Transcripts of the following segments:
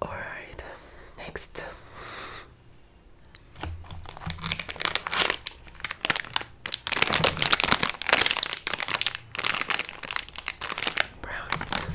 Alright, next. Brownies.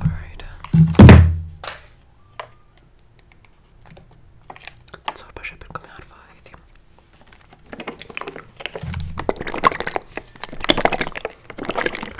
All right. Let's hope I should come out five.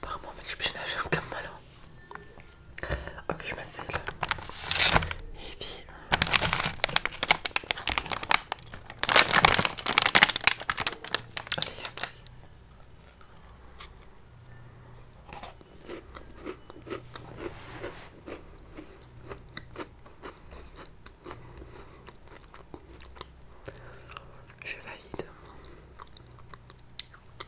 Apparemment, mec, je suis nager comme malin. Ok, je m'asselle. Et puis. Allez, je valide.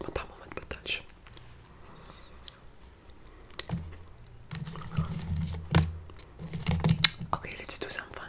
ما طعمه ما تبدلش Okay, let's do some fun.